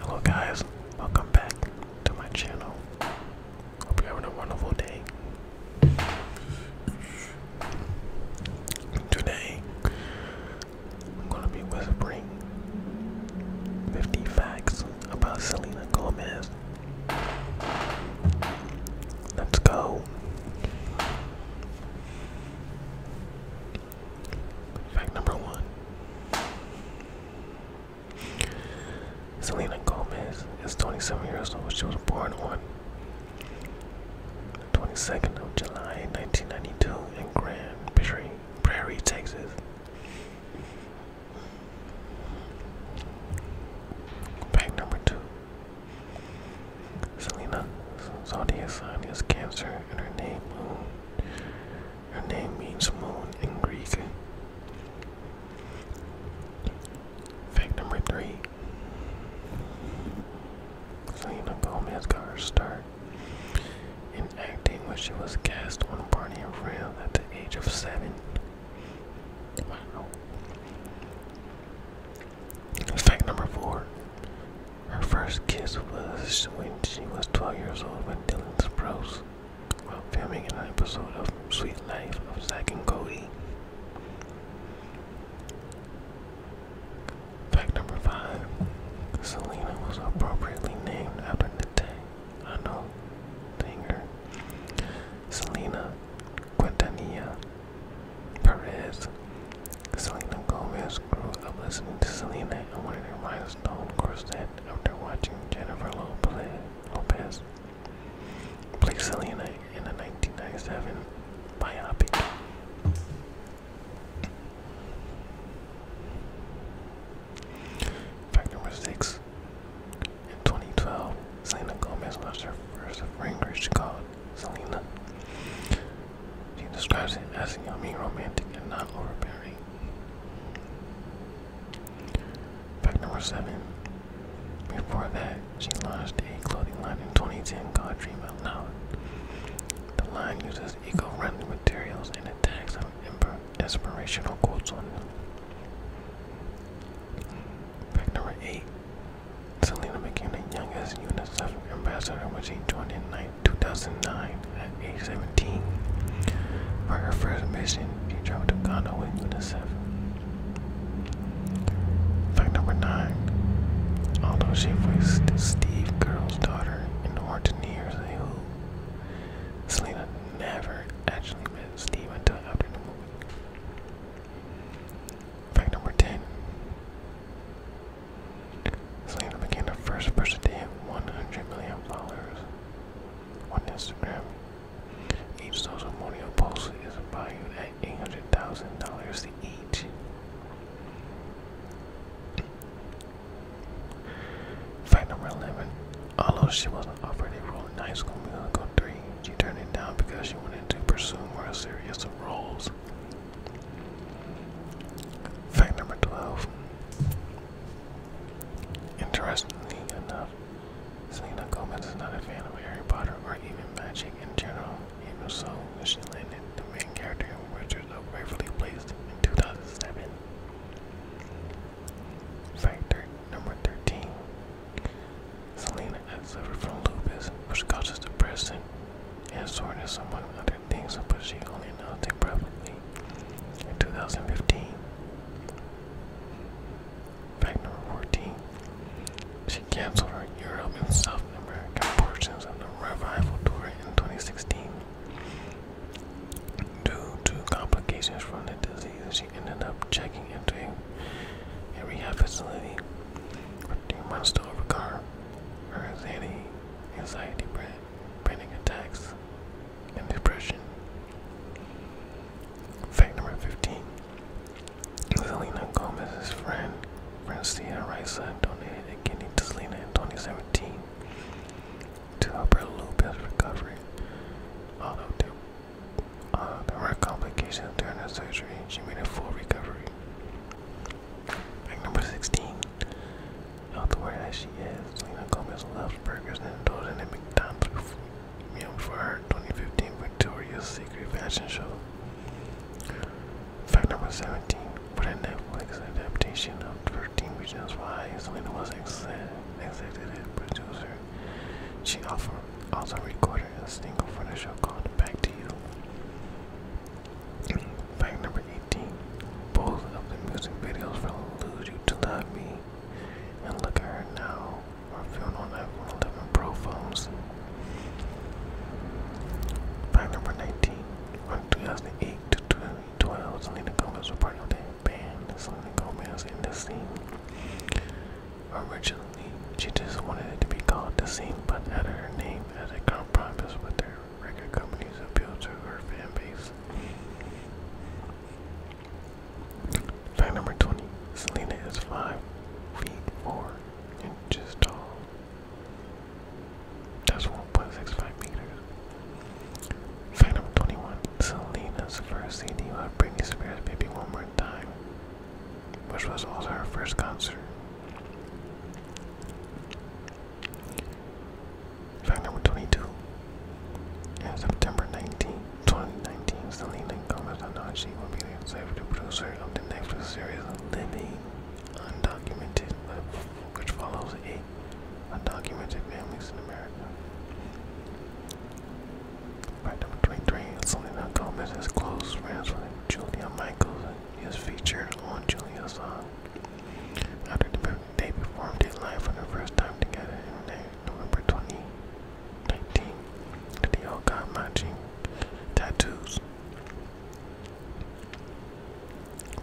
Hello guys, welcome back to my channel. Hope you're having a wonderful day. Today, I'm gonna be whispering 50 facts about Selena Gomez. Let's go. Fact number one Selena Gomez is 27 years old. She was born on the 22nd of July 1992 in Grand Prairie, Prairie Texas. Fact number two Selena zodiac sign is Cancer, and her name Her name means moon in Greek. Fact number three. Selena Gomez got her start in acting when she was cast on Barney and Friends at the age of seven. Fact number four. Her first kiss was when she was 12 years old with Dylan Sprouse while filming an episode of Sweet Life of Zack and Cody. Fact number five. Selena was appropriately named after the Tejano singer Selena Quintanilla Perez Selena Gomez grew up listening to Selena and wanted to remind course Corset after watching Jennifer Lopez play Selena in the 1997 biopic. Fact number In 2012, Selena Gomez lost her first ring, which she called Selena. She describes it as yummy, romantic, and not overbearing. Fact number seven. Before that, she launched a clothing line in 2010 called Dream Out Loud. The line uses eco-friendly materials and attacks on inspirational quotes on them. Fact number eight. Selena became the youngest UNICEF ambassador when she joined in 2009, at age 17. For her first mission, she traveled to Canada with UNICEF. Fact number 9. Although she voiced Steve Girl's daughter in *The Hortoneers years ago, Selena never actually met Steve until after the movie. Fact number 10. Selena became the first person to hit 100 million followers on Instagram. Each social media post is valued at $800,000 each. Fact number 11. Although she wasn't offered in High School Musical 3, she turned it down because she wanted to pursue more serious roles. Fact number 12. Interestingly enough, Selena Gomez is not a fan of Harry Potter or even magic in general, even so, she landed the main character in Wizard of Waverly placed in 2007. Fact number 13. Selena has suffered from lupus, which causes depression and soreness among other things were pushing only nothing probably in 2015. Fact number 14. She canceled her Europe and South America portions of the revival tour in 2016. Due to complications from the disease, she ended up checking into a, rehab facility for three months to overcome her anxiety anxiety, panic attacks, and depression. Fact number 15 Selena Gomez's friend, Francia Risa, donated a kidney to Selena in 2017 to help her lupus recovery. Although there, uh, there were complications during her surgery, she made a full recovery. Fact number 16. Out the way that she is. Selena Gomez loves burgers and indulging in McDonald's meal for her 2015 Victoria's Secret fashion show. Fact number 17. For the Netflix adaptation of 13 Reasons Why, Selena was executive producer. She also recorded a single for the show called Back to You. Fact number 18. Both of the music videos for Lose You to Love Me and Look at Her Now are filmed on iPhone 11 Pro phones. Fact number 19. From 2008 to 2012, Selena Gomez was part of that band. Selena Gomez in The Scene. Originally, she just wanted it to be called The Scene, but added her name as a compromise with her record companies appeal to her fan base. Fact number 20 Selena is 5 feet 4 inches tall. That's 1.65 meters. Fact number 21 Selena's first CD was Britney Spears Baby One More Time, which was also her first concert. Fact number 22. In September 19, 2019, Selena Gomez and Anachi will be the executive producer of the Netflix series Living Undocumented, which follows eight undocumented families in America. Fact number 23. Selena Gomez is close friends with Julia Michaels is featured on Julia's song. After the, they performed it live for the first time together in uh, November 2019, they all got matching tattoos.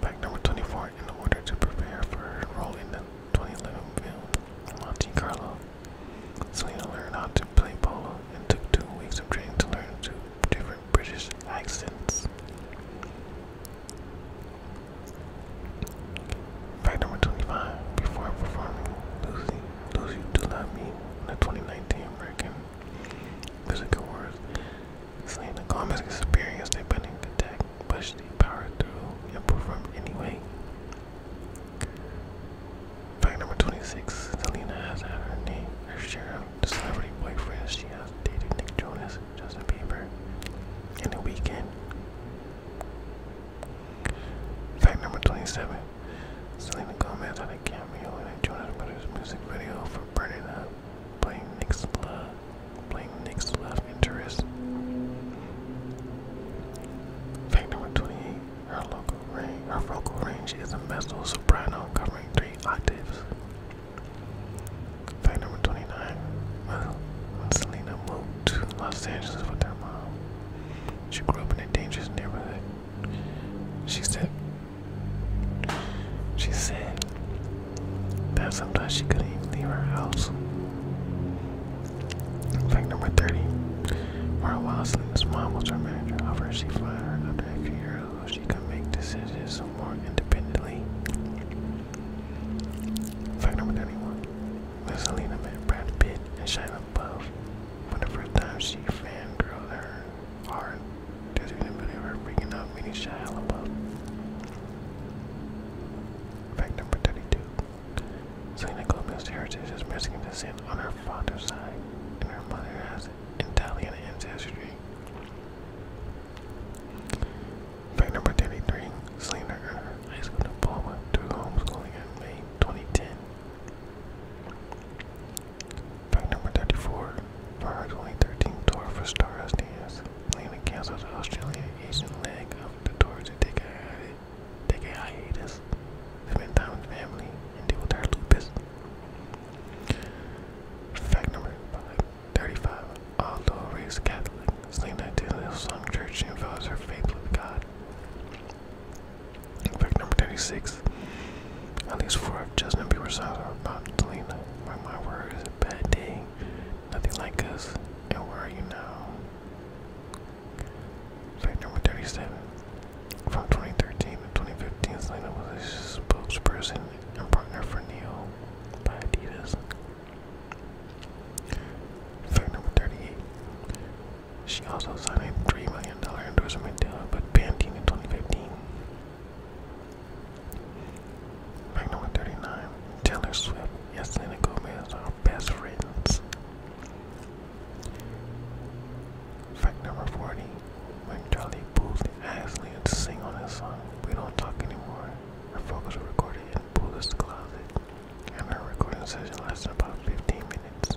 Fact number 24 in order to prepare for her role in the 2011 film Monte Carlo. Selena learned how to play polo and took two weeks of training to learn two different British accents. Fact number 25. Before performing Lucy, Lucy Do Not Me, the 2019 American Music Awards, Selena Gomez experienced a panic attack, but she powered through and performed anyway. Fact number 26. Selena has had her name, her share the celebrity boyfriend she has dated Nick Jonas, Justin Bieber, and The Weeknd. Fact number 27. Selena Gomez had a cameo in a Jonas Brothers music video for Burning Up, uh, playing Nick's love, playing Nick's love interest. Fact number 28. Her local range, her vocal range is a mezzo soprano covering three octaves. Fact number 29. Well, when Selena moved to Los Angeles with her mom, she grew up in a dangerous neighborhood. She said, she said that sometimes she couldn't even leave her house. Fact number 30. For a while, Selena's mom was her manager. However, she fired her after a few years she can make decisions more independently. Fact number 91. Selena met Brad Pitt and Shia LaBeouf for the first time, she fangirled her hard. Just couldn't freaking out meeting Shia LaBeouf. Fact number 32. Selena Gomez's heritage is Mexican descent on her father's side, and her mother has Italian ancestry. Fact number 33, Selena earned high school diploma through homeschooling in May 2010. Fact number 34, her 2013-tour for Star SDS, Selena canceled the Australian Asian leg of the tour to take a, take a hiatus, spend time with family, and deal with her lupus. Fact number 5. 35. Although raised Catholic, Selena attended Hillsong Church and vows her faith with God. fact, number 36. At least four of Justin Bieber's songs are about Selena. My, my word is a bad day. Nothing like us. And where are you now? Fact number 37. From 2013 to 2015, Selena was a spokesperson Partner for Neil by Adidas. Fact number 38. She also signed a $3 million endorsement deal uh, with Pantene in 2015. Fact number 39. Taylor Swift and Selena Gomez are best friends. Fact number 40 like Charlie Booth Ashley and sing on this song. We don't talk anymore. Her vocals were recorded in Booth's closet, and her recording session lasted about 15 minutes.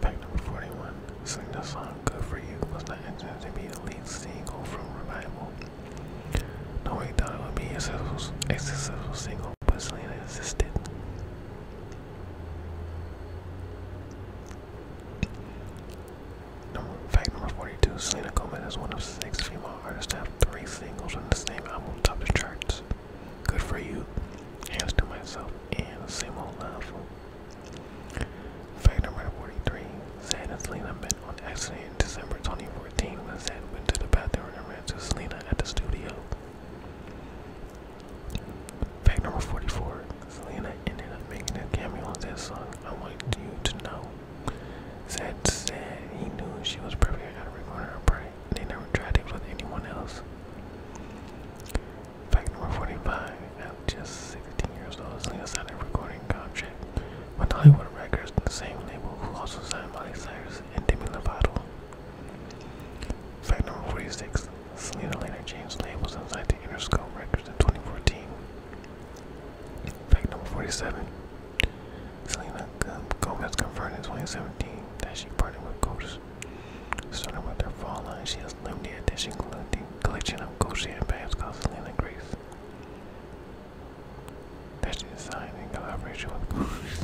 Fact number 41, sing the song Good For You was not intended to be the lead single from Revival. No one thought it would be a successful, successful single, but Selena insisted fact number 42, Selena Gomez is one of six female artists to have three singles on the same album top the charts. Good for you, hands to myself, and same old love. Fact number 43, Zed and Selena met on accident in December 2014 when Zed went to the bathroom and ran to Selena at the studio. Fact number 44, Selena ended up making a cameo on that song. I want you to know. said said he knew she was perfect at recording her part. They never tried it with anyone else. Fact number 45. At just 16 years old, Selena signed a recording contract with Hollywood Records, the same label who also signed Miley Cyrus and Demi Lovato. Fact number 46. Slater later changed labels inside to Interscope Records in 2014. Fact number 47. Selena Gomez confirmed in 2017 that she partnered with Coach. Starting with her fall line, she has limited edition collection of Gucci handbags called Selena Grace. That she designed in collaboration with Gucci.